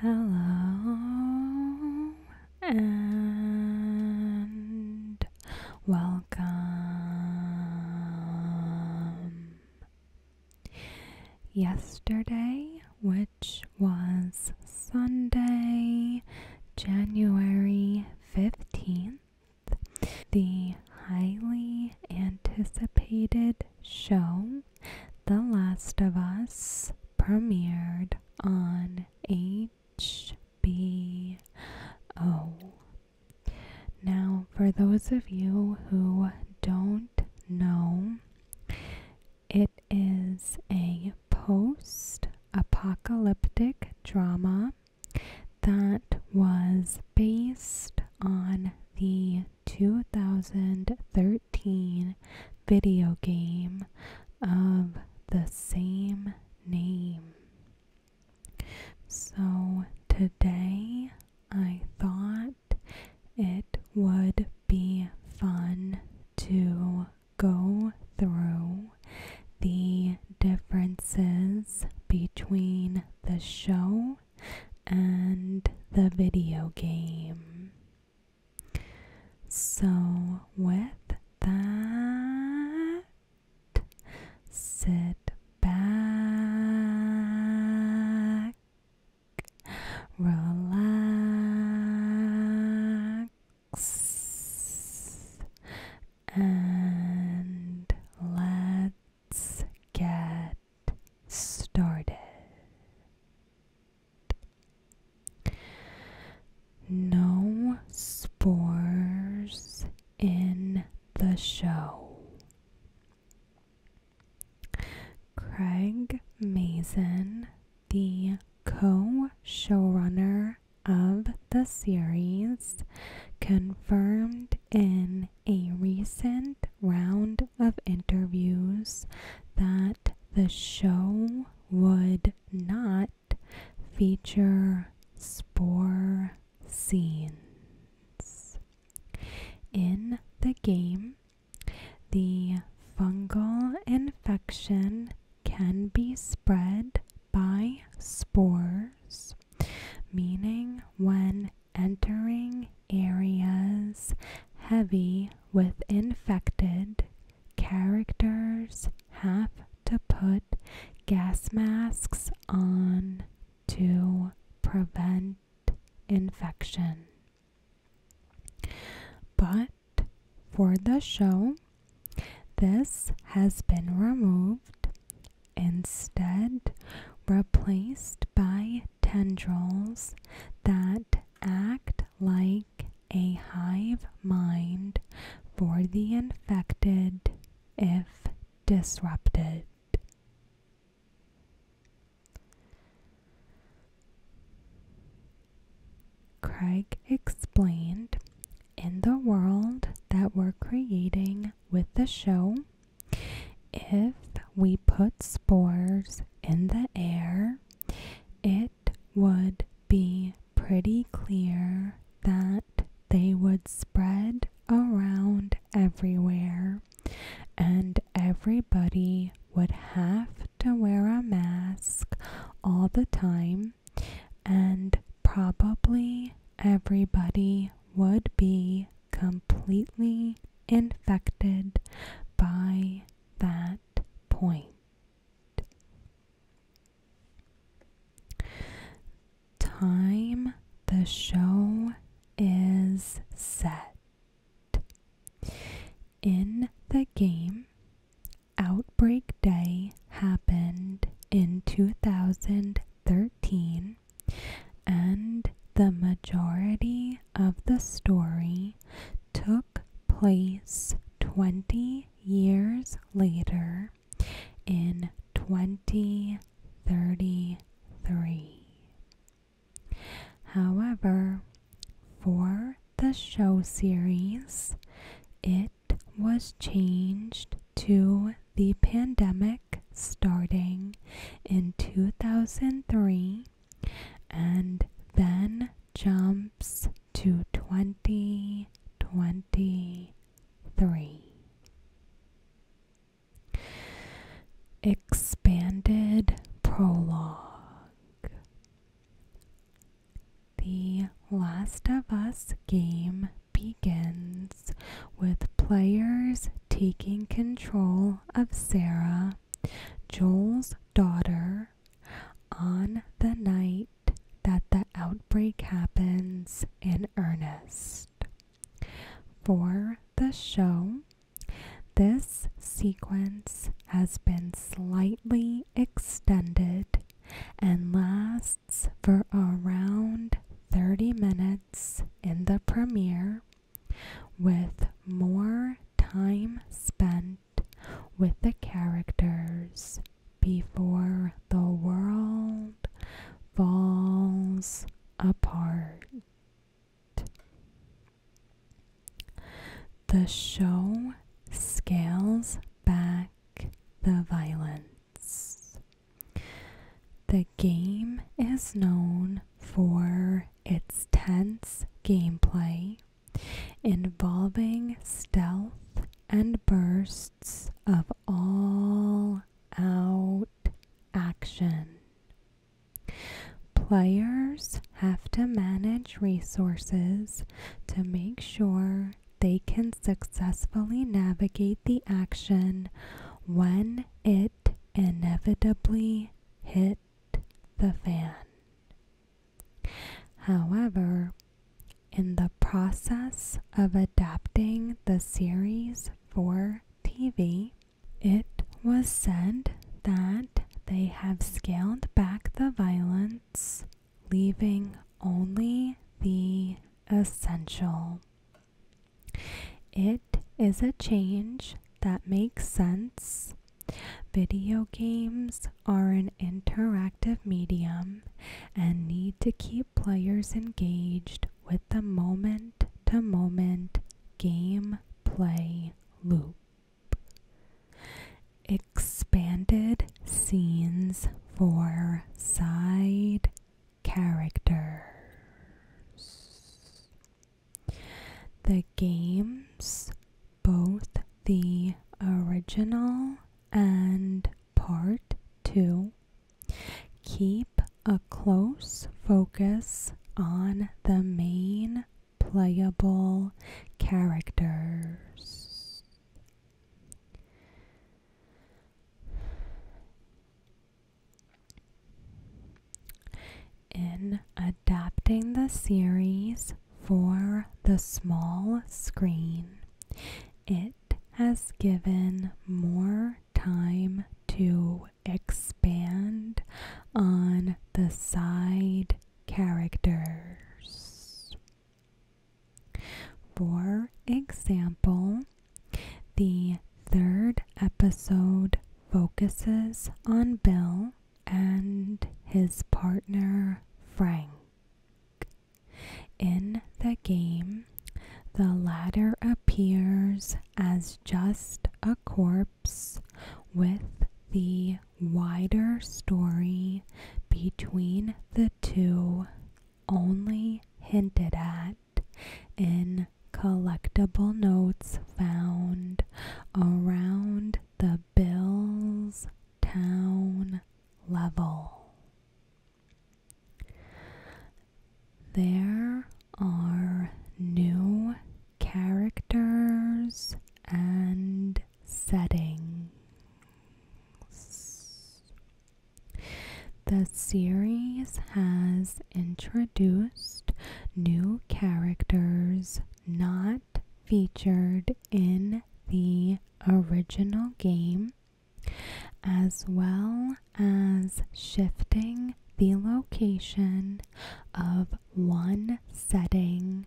Hello and welcome. Yesterday, which was Sunday, January 15th, the highly anticipated show the Last of Us premiered on HBO. Now, for those of you who don't know, it is a post apocalyptic drama that was based on the 2013 2013 video game of the same name. So today I thought it would be fun to go through the differences between the show and the video game. So, with that, sit back, relax, and let Let's get started. No spores in the show. Craig Mazin, the co showrunner of the series, confirmed in a recent round of interviews that the show would not feature spore scenes. In the game, the fungal infection can be spread by spores, meaning when entering areas heavy with infected characters have to put gas masks on to prevent infection. But for the show, this has been removed, instead, replaced by tendrils that act like a hive mind for the infected if disrupted. Craig explained in the world that we're creating with the show, if we put spores in the air, it would be pretty clear that they would spread around everywhere and everybody would have to wear a mask all the time and probably everybody would be completely infected by that point. Time the show is set. In the game, Outbreak Day happened in 2013 and the majority of the story took place 20 years later in 2033. However, for the show series, it was changed to the pandemic starting in 2003 and then jumps to 2023. Expanded Prologue The Last of Us game begins with players taking control of Sarah, Joel's daughter, on the night that the outbreak happens in earnest. For the show, this sequence has been slightly extended and lasts for around 30 minutes in the premiere with more time spent with the characters before the world falls apart. The show scales back the violence. The game is known for its tense gameplay involving stealth and bursts of all out action. Players have to manage resources to make sure they can successfully navigate the action when it inevitably hit the fan. However, in the process of adapting the series for TV, it was said that they have scaled back the violence, leaving only the essential. It is a change that makes sense. Video games are an interactive medium and need to keep players engaged with the moment to moment game play loop. Expanded scenes for side characters. The games, both the original and part 2, keep a close focus on the main playable characters. In adapting the series for the small screen, it has given more time to expand on the side characters. For example, the third episode focuses on Bill and his partner Frank. In the game, the latter appears as just a corpse with the wider story between the two only hinted at in collectible notes found around the Bills town level. There are new characters and settings. The series has introduced new characters not featured in the original game, as well as shifting the location of one setting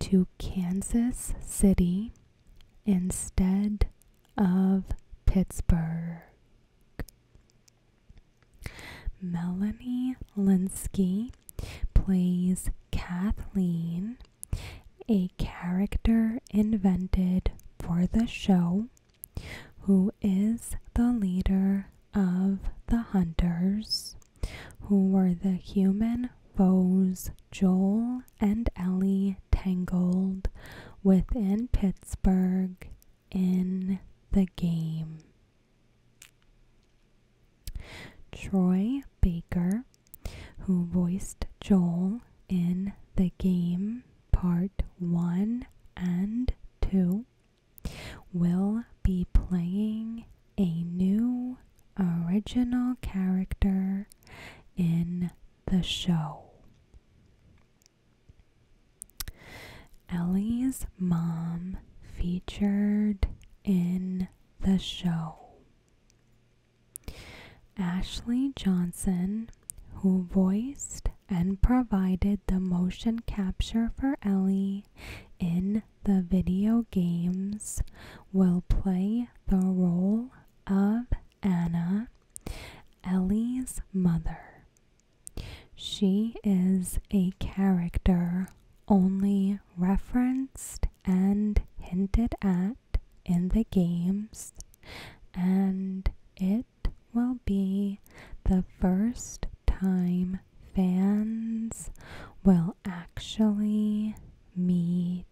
to Kansas City instead of Pittsburgh. Melanie Linsky plays Kathleen, a character invented for the show, who is the leader of the Hunters, who were the human foes Joel and Ellie Tangled, within Pittsburgh in the game. Troy Baker, who voiced Joel in the game part 1 and 2, will be playing a new original character in the show. Ellie's mom featured in the show. Ashley Johnson, who voiced and provided the motion capture for Ellie in the video games, will play the role of Anna Ellie's mother. She is a character only referenced and hinted at in the games, and it will be the first time fans will actually meet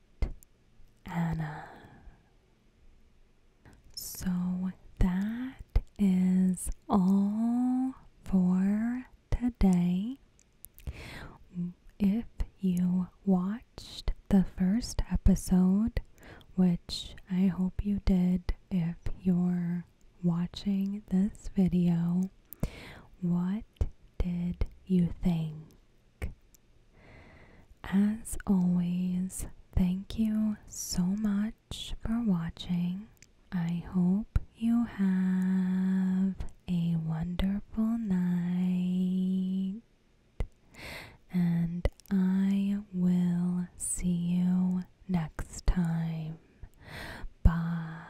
Anna. So that is all for today. If you watched the first episode, which I hope you did if you're watching this video, what did you think? As always, thank you so much for watching. I hope you have a wonderful night, and I will see you next time. Bye.